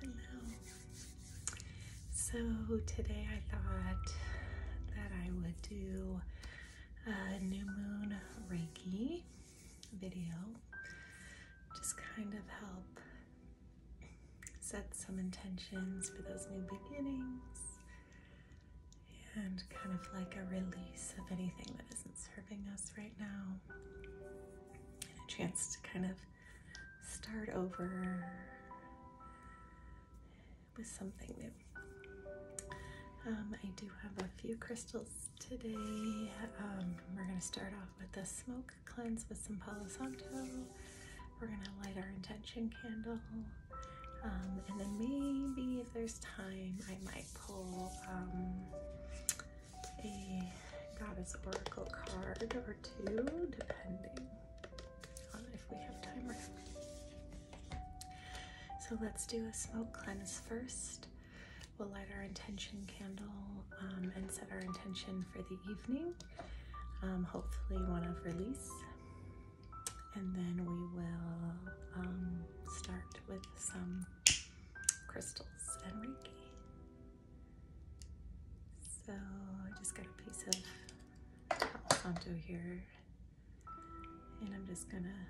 Hello. So today I thought that I would do a new moon Reiki video. Just kind of help set some intentions for those new beginnings and kind of like a release of anything that isn't serving us right now, and a chance to kind of start over with something new. Um, I do have a few crystals today. Um, we're going to start off with a smoke cleanse with some Palo Santo. We're going to light our intention candle um, and then maybe if there's time, I might pull um, a goddess oracle card or two, depending on if we have time or not. So let's do a smoke cleanse first. We'll light our intention candle um, and set our intention for the evening. hopefully one of release and then we will um, start with some crystals and Reiki. So I just got a piece of santo here and I'm just gonna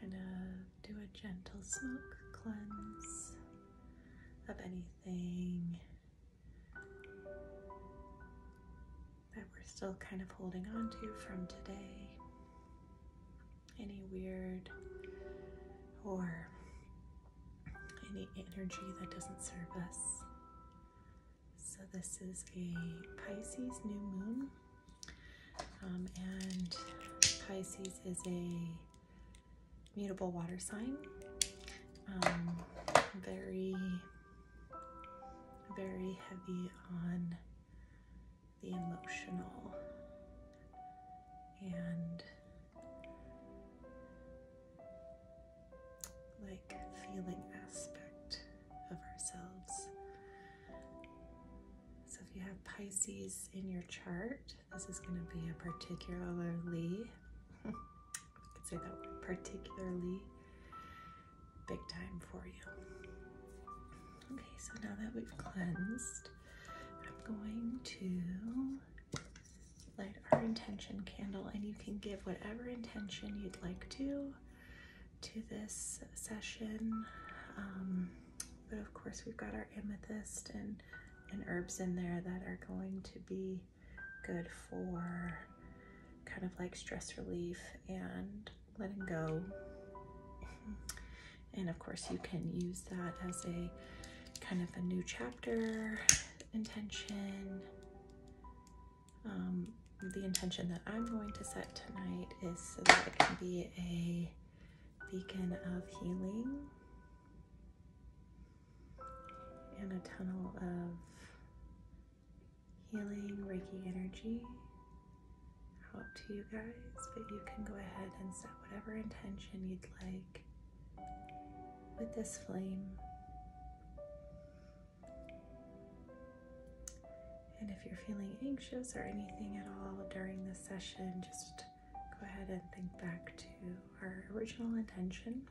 kind of do a gentle smoke cleanse of anything that we're still kind of holding on to from today. Any weird or any energy that doesn't serve us. So, this is a Pisces new moon, um, and Pisces is a mutable water sign. Um, very very heavy on the emotional and like feeling aspect of ourselves. So if you have Pisces in your chart, this is going to be a particularly I could say that word particularly big time for you. Okay, so now that we've cleansed, I'm going to light our intention candle and you can give whatever intention you'd like to to this session. Um, but of course we've got our amethyst and, and herbs in there that are going to be good for kind of like stress relief and letting go. And of course you can use that as a kind of a new chapter intention. Um, the intention that I'm going to set tonight is so that it can be a beacon of healing and a tunnel of healing Reiki energy out to you guys, but you can go ahead and set whatever intention you'd like with this flame. And if you're feeling anxious or anything at all during this session, just go ahead and think back to our original intention.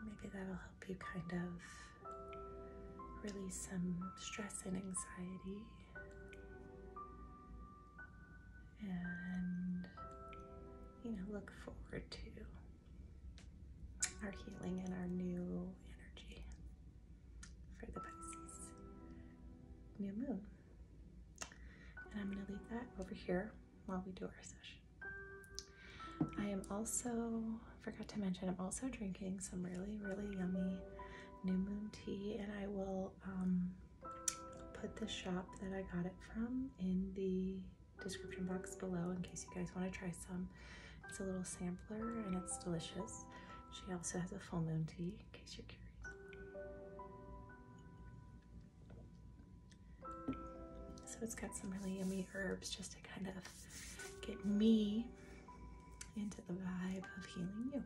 And maybe that'll help you kind of release some stress and anxiety. And, you know, look forward to our healing and our new energy for the Pisces new moon. And I'm going to leave that over here while we do our session. I am also, forgot to mention, I'm also drinking some really, really yummy new moon tea and I will um, put the shop that I got it from in the description box below in case you guys want to try some. It's a little sampler and it's delicious. She also has a full moon tea in case you're curious. So it's got some really yummy herbs just to kind of get me into the vibe of healing you.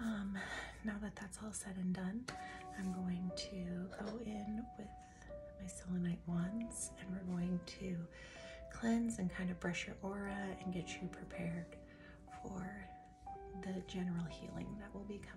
Um, now that that's all said and done, I'm going to go in with my selenite wands and we're going to cleanse and kind of brush your aura and get you prepared for the general healing that will be coming.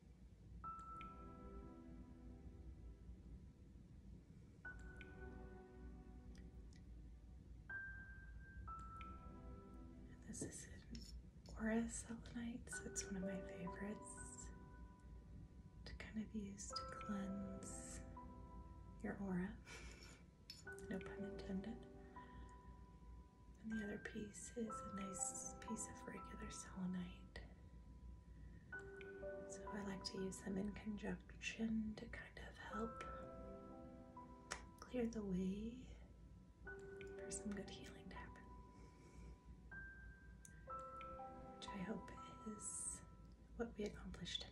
This is an aura selenite, it's one of my favorites to kind of use to cleanse your aura. no pun intended. And the other piece is a nice piece of regular selenite. So I like to use them in conjunction to kind of help clear the way for some good healing to happen. Which I hope is what we accomplished tonight.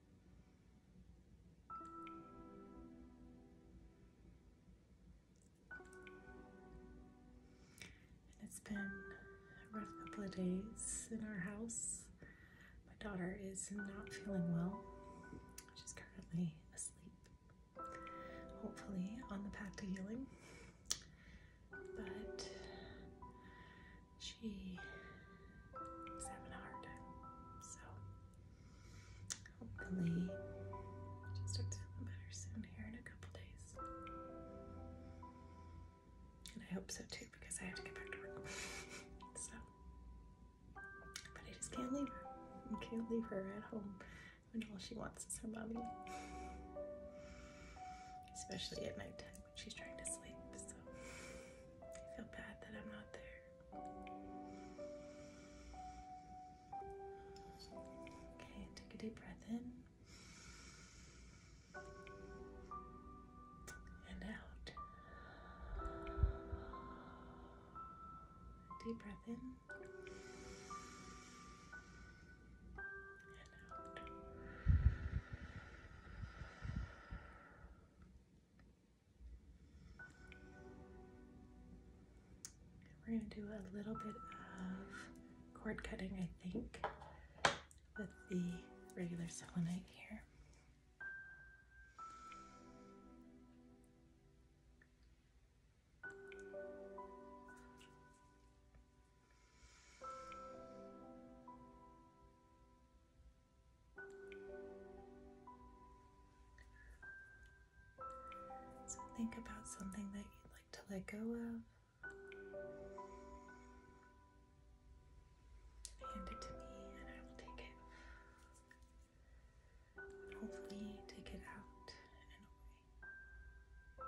it's been a rough couple of days in our house. My daughter is not feeling well. She's currently asleep, hopefully on the path to healing. But She's having a hard time. So hopefully she starts feeling better soon here in a couple days. And I hope so too because I have to get back to work. so but I just can't leave her. I can't leave her at home when all she wants is her mommy. Especially at nighttime she's trying to sleep, so I feel bad that I'm not there. Okay, take a deep breath in and out. Deep breath in. And out. We're going to do a little bit of cord cutting, I think, with the regular selenite here. So think about something that you'd like to let go of. hand it to me, and I will take it. hopefully, take it out and away.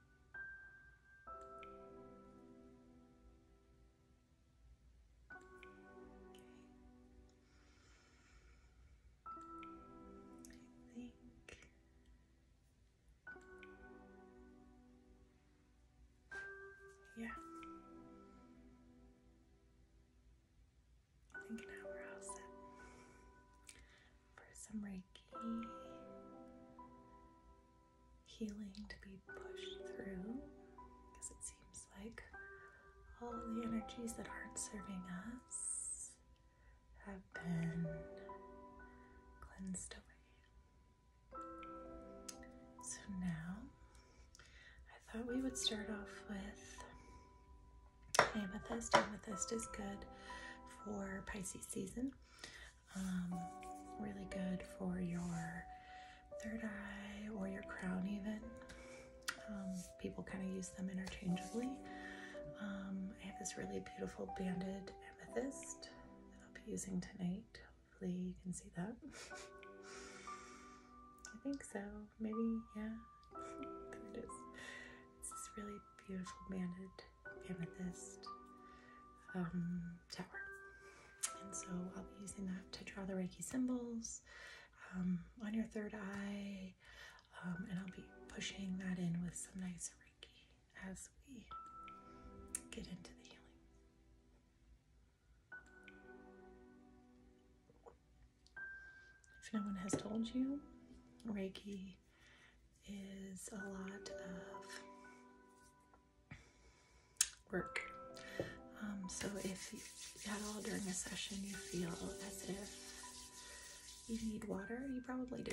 I think yeah. I think now we're all set for some Reiki healing to be pushed through because it seems like all the energies that aren't serving us have been cleansed away. So now I thought we would start off with amethyst. Amethyst is good for Pisces season. Um, really good for your third eye or your crown, even. Um, people kind of use them interchangeably. Um, I have this really beautiful banded amethyst that I'll be using tonight. Hopefully, you can see that. I think so. Maybe, yeah. there it is. It's this really beautiful banded amethyst um, tower. And so I'll be using that to draw the Reiki symbols um, on your third eye. Um, and I'll be pushing that in with some nice Reiki as we get into the healing. If no one has told you, Reiki is a lot of work. Um, so if at all during a session you feel as if you need water, you probably do.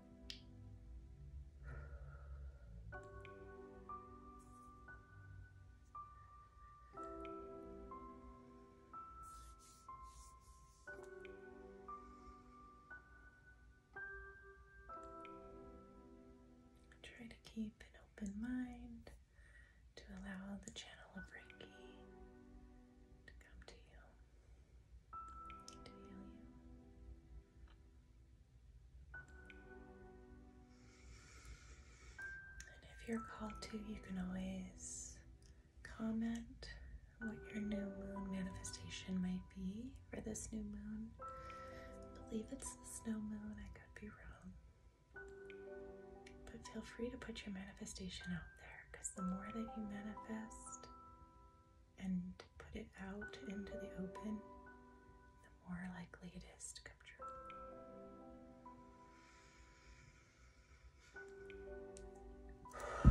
Try to keep an open mind to allow the channel of Reiki to come to you, to heal you. And if you're called to, you can always comment what your new moon manifestation might be for this new moon. believe it's the snow moon, I could be wrong. But feel free to put your manifestation out there because the more that you manifest, and put it out into the open, the more likely it is to come true.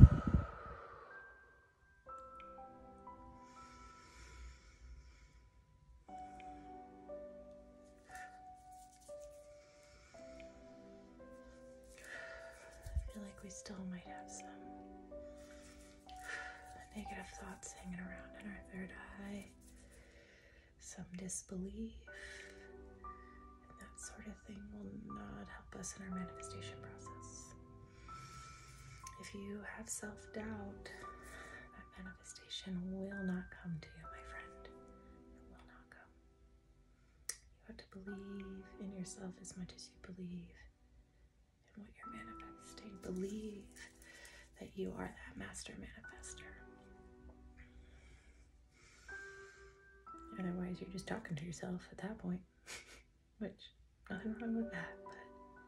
I feel like we still might have some negative thoughts hanging around in our third eye, some disbelief, and that sort of thing will not help us in our manifestation process. If you have self doubt, that manifestation will not come to you, my friend. It will not come. You have to believe in yourself as much as you believe in what you're manifesting. Believe that you are that master manifester. Otherwise, you're just talking to yourself at that point, which nothing wrong with that, but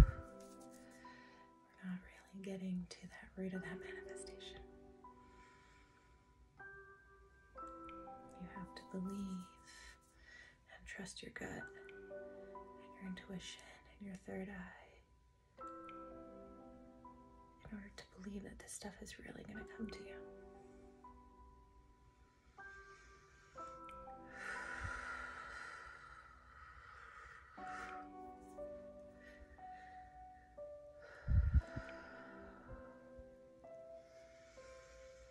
we're not really getting to that root of that manifestation. You have to believe and trust your gut and your intuition and your third eye in order to believe that this stuff is really going to come to you.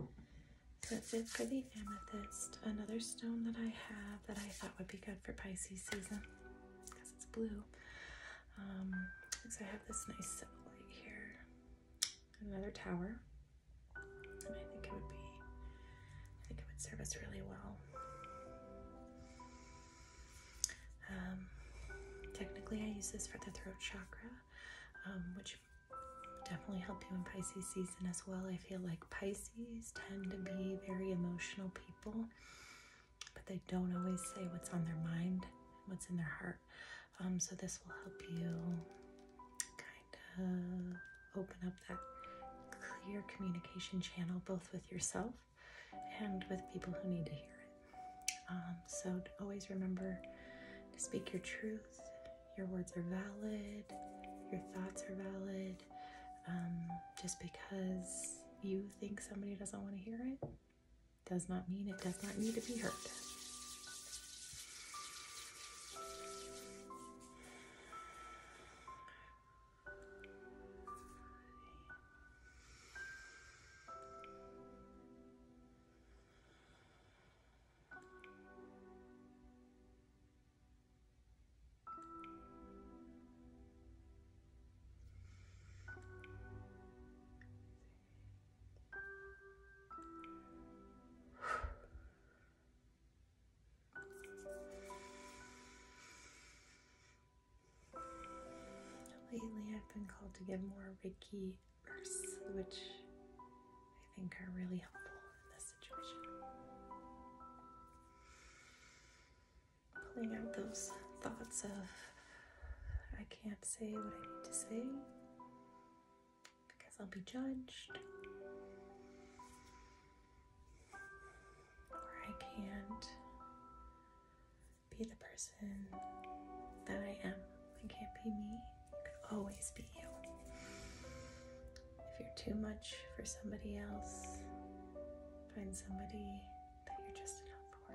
Okay. That's it for the amethyst. Another stone that I have that I thought would be good for Pisces season because it's blue. Um, so I have this nice satellite here. Another tower. I think it would be, I think it would serve us really well. Um, technically I use this for the throat chakra um, which definitely help you in Pisces season as well. I feel like Pisces tend to be very emotional people, but they don't always say what's on their mind, what's in their heart. Um, so this will help you kind of open up that clear communication channel both with yourself and with people who need to hear it. Um, so always remember to speak your truth. Your words are valid. Your thoughts are valid. Um, just because you think somebody doesn't want to hear it does not mean it does not need to be heard. Lately, I've been called to give more Ricky which I think are really helpful in this situation. Pulling out those thoughts of I can't say what I need to say because I'll be judged. Or I can't be the person that I am. I can't be me. You can always be you. If you're too much for somebody else, find somebody that you're just enough for.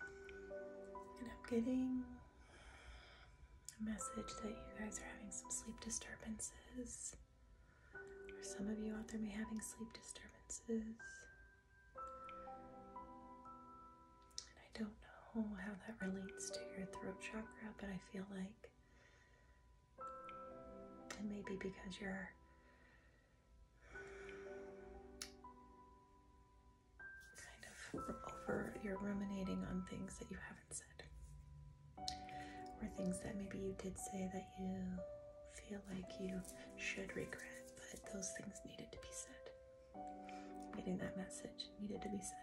And I'm getting a message that you guys are having some sleep disturbances, or some of you out there may be having sleep disturbances. And I don't know how that relates to your throat chakra, but I feel like and maybe because you're kind of over, you're ruminating on things that you haven't said, or things that maybe you did say that you feel like you should regret, but those things needed to be said. Getting that message needed to be said.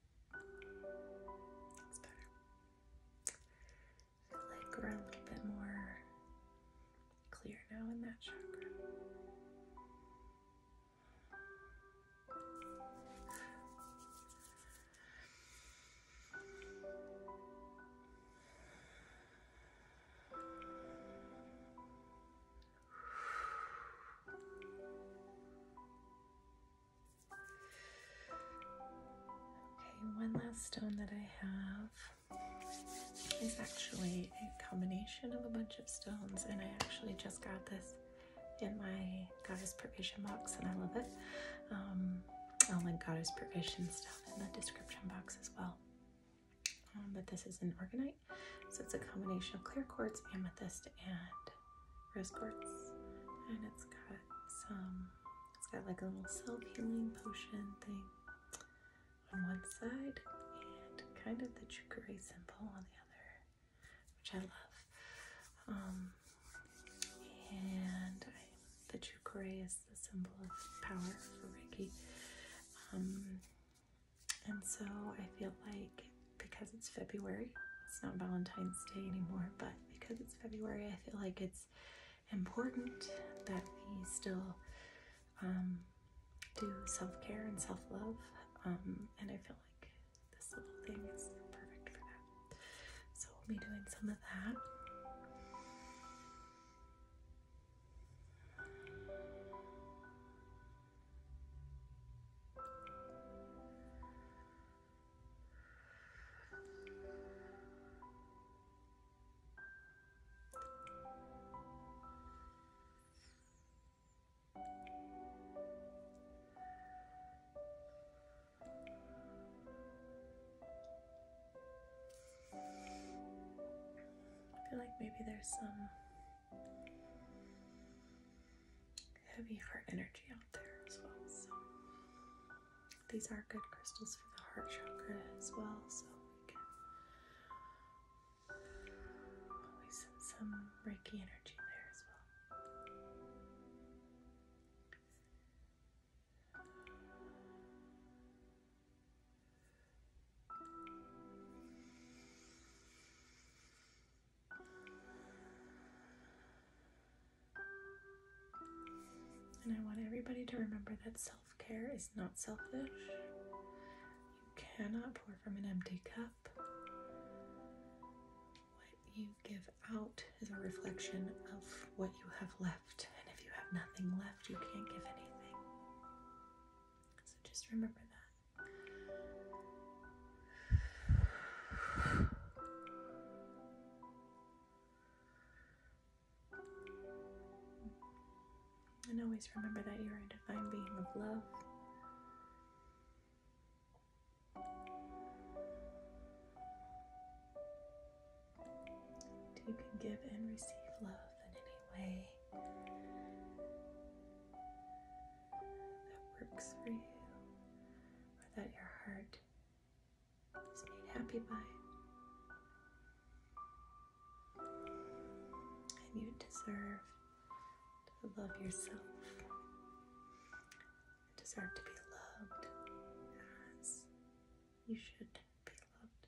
That's better. I feel like we're a little bit more clear now in that chakra. Okay, one last stone that I have is actually a combination of a bunch of stones, and I actually just got this in my goddess provision box, and I love it. I'll um, link goddess provisions down in the description box as well. Um, but this is an organite, so it's a combination of clear quartz, amethyst, and rose and it's got some, it's got like a little self-healing potion thing on one side, and kind of the Chukuri symbol on the other, which I love. Um, and the Chukuri is the symbol of power for Reiki. Um, and so I feel like because it's February, it's not Valentine's Day anymore, but because it's February, I feel like it's important that we still um, do self-care and self-love. Um, and I feel like this little thing is perfect for that. So we'll be doing some of that. I feel like maybe there's some heavy heart energy out there as well. these are good crystals for the heart chakra as well. So we can always send some Reiki energy there as well. And I want everybody to remember that self care is not selfish. You cannot pour from an empty cup. What you give out is a reflection of what you have left. And if you have nothing left, you can't give anything. So just remember that. And always remember that you're a divine being of love. You can give and receive love in any way that works for you or that your heart is made happy by. And you deserve to love yourself. You deserve to be loved as you should be loved.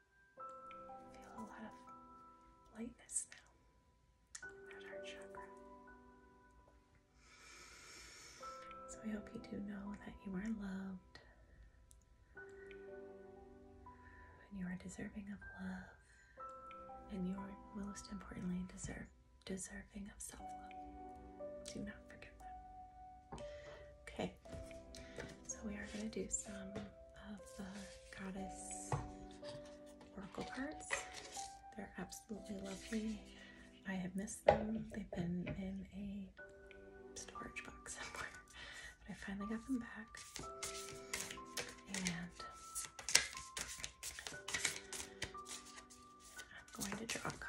Feel a lot of lightness now in that chakra. So I hope you do know that you are loved and you are deserving of love and you are most importantly deserve deserving of self-love. Do not forget that. Okay. So we are going to do some of the Goddess Oracle cards. They're absolutely lovely. I have missed them. They've been in a storage box somewhere, but I finally got them back. And I'm going to draw a couple.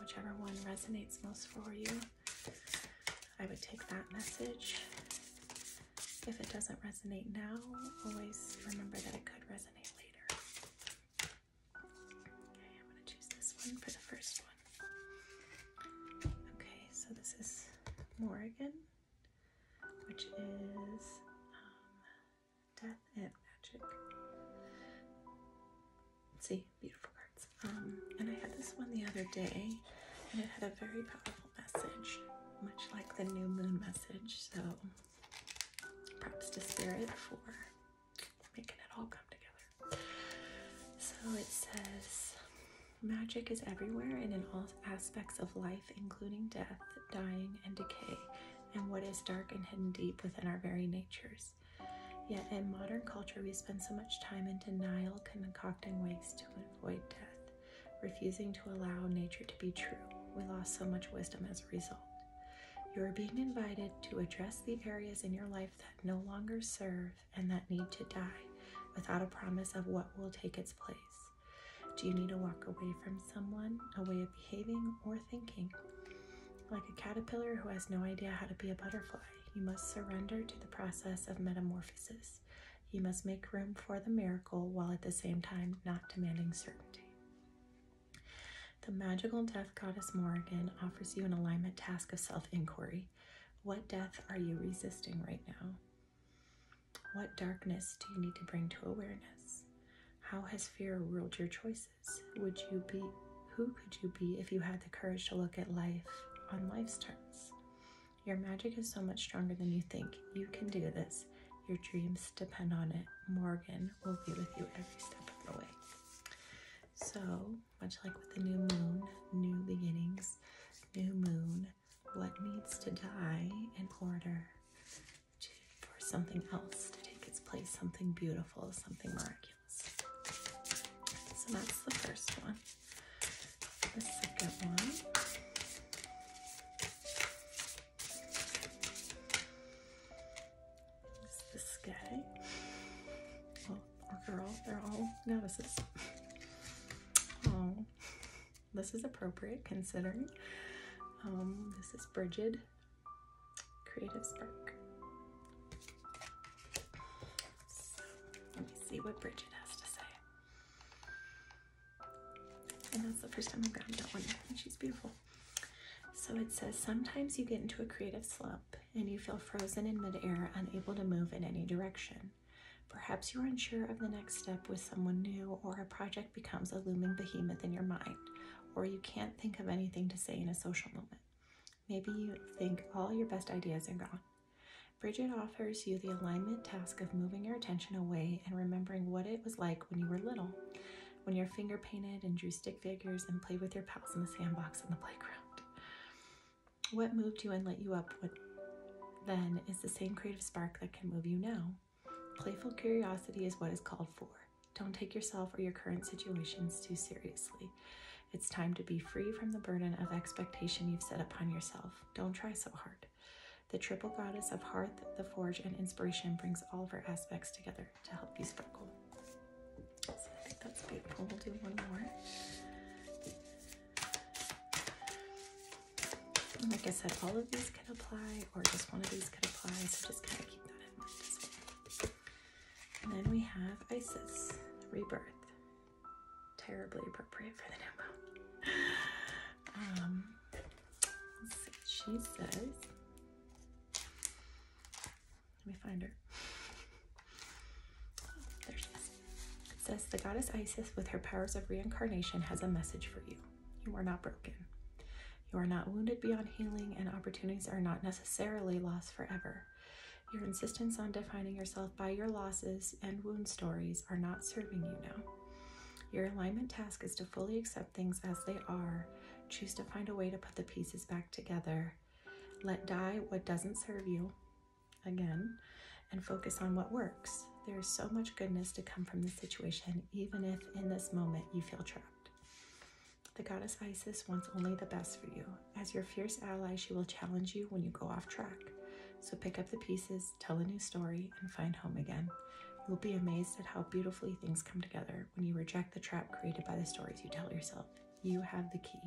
Whichever one resonates most for you. I would take that message. If it doesn't resonate now, always remember that it could resonate later. Okay, I'm going to choose this one for the first one. Okay, so this is Morgan, which is um, Death and Magic. See, beautiful cards and I had this one the other day, and it had a very powerful message, much like the new moon message. So props to Spirit for making it all come together. So it says, Magic is everywhere and in all aspects of life, including death, dying, and decay, and what is dark and hidden deep within our very natures. Yet in modern culture, we spend so much time in denial, concocting ways to to avoid death, refusing to allow nature to be true. We lost so much wisdom as a result. You are being invited to address the areas in your life that no longer serve and that need to die without a promise of what will take its place. Do you need to walk away from someone, a way of behaving or thinking? Like a caterpillar who has no idea how to be a butterfly, you must surrender to the process of metamorphosis. You must make room for the miracle while at the same time not demanding certainty. The magical death goddess Morrigan offers you an alignment task of self inquiry. What death are you resisting right now? What darkness do you need to bring to awareness? How has fear ruled your choices? Would you be who could you be if you had the courage to look at life on life's terms? Your magic is so much stronger than you think. You can do this. Your dreams depend on it. Morgan will be with you every step of the way. So, much like with the new moon, new beginnings, new moon, what needs to die in order for something else to take its place, something beautiful, something miraculous. So that's the first one the second one. this guy oh, girl? They're all novices. Oh, this is appropriate considering. Um, this is Bridget, Creative Spark let me see what Bridget has to say. And that's the first time I've gotten that one. And she's beautiful. So it says, sometimes you get into a creative slump and you feel frozen in midair, unable to move in any direction. Perhaps you're unsure of the next step with someone new, or a project becomes a looming behemoth in your mind, or you can't think of anything to say in a social moment. Maybe you think all your best ideas are gone. Bridget offers you the alignment task of moving your attention away and remembering what it was like when you were little, when your finger painted and drew stick figures and played with your pals in the sandbox on the playground. What moved you and lit you up then is the same creative spark that can move you now. Playful curiosity is what is called for. Don't take yourself or your current situations too seriously. It's time to be free from the burden of expectation you've set upon yourself. Don't try so hard. The triple goddess of hearth, the forge, and inspiration brings all of her aspects together to help you sparkle. So I think that's beautiful. We'll do one more. like I said, all of these can apply, or just one of these could apply, so just kind of keep that in mind. And then we have Isis, rebirth terribly appropriate for the demo. Um, She says, let me find her. there she is. says, the goddess Isis, with her powers of reincarnation, has a message for you. You are not broken. You are not wounded beyond healing, and opportunities are not necessarily lost forever. Your insistence on defining yourself by your losses and wound stories are not serving you now. Your alignment task is to fully accept things as they are. Choose to find a way to put the pieces back together. Let die what doesn't serve you, again, and focus on what works. There is so much goodness to come from this situation, even if in this moment you feel trapped. The goddess Isis wants only the best for you. As your fierce ally, she will challenge you when you go off track. So pick up the pieces, tell a new story, and find home again. You'll be amazed at how beautifully things come together when you reject the trap created by the stories you tell yourself. You have the key.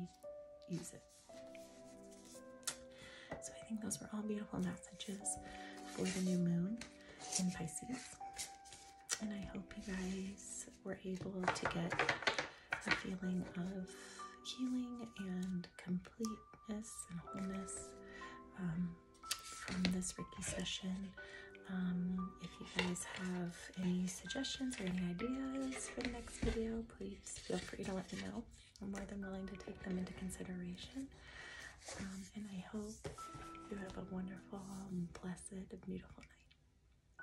Use it. So I think those were all beautiful messages for the new moon in Pisces. And I hope you guys were able to get a feeling of healing and completeness and wholeness um, from this Reiki session. Um, if you guys have any suggestions or any ideas for the next video, please feel free to let me know. I'm more than willing to take them into consideration. Um, and I hope you have a wonderful, blessed, beautiful night.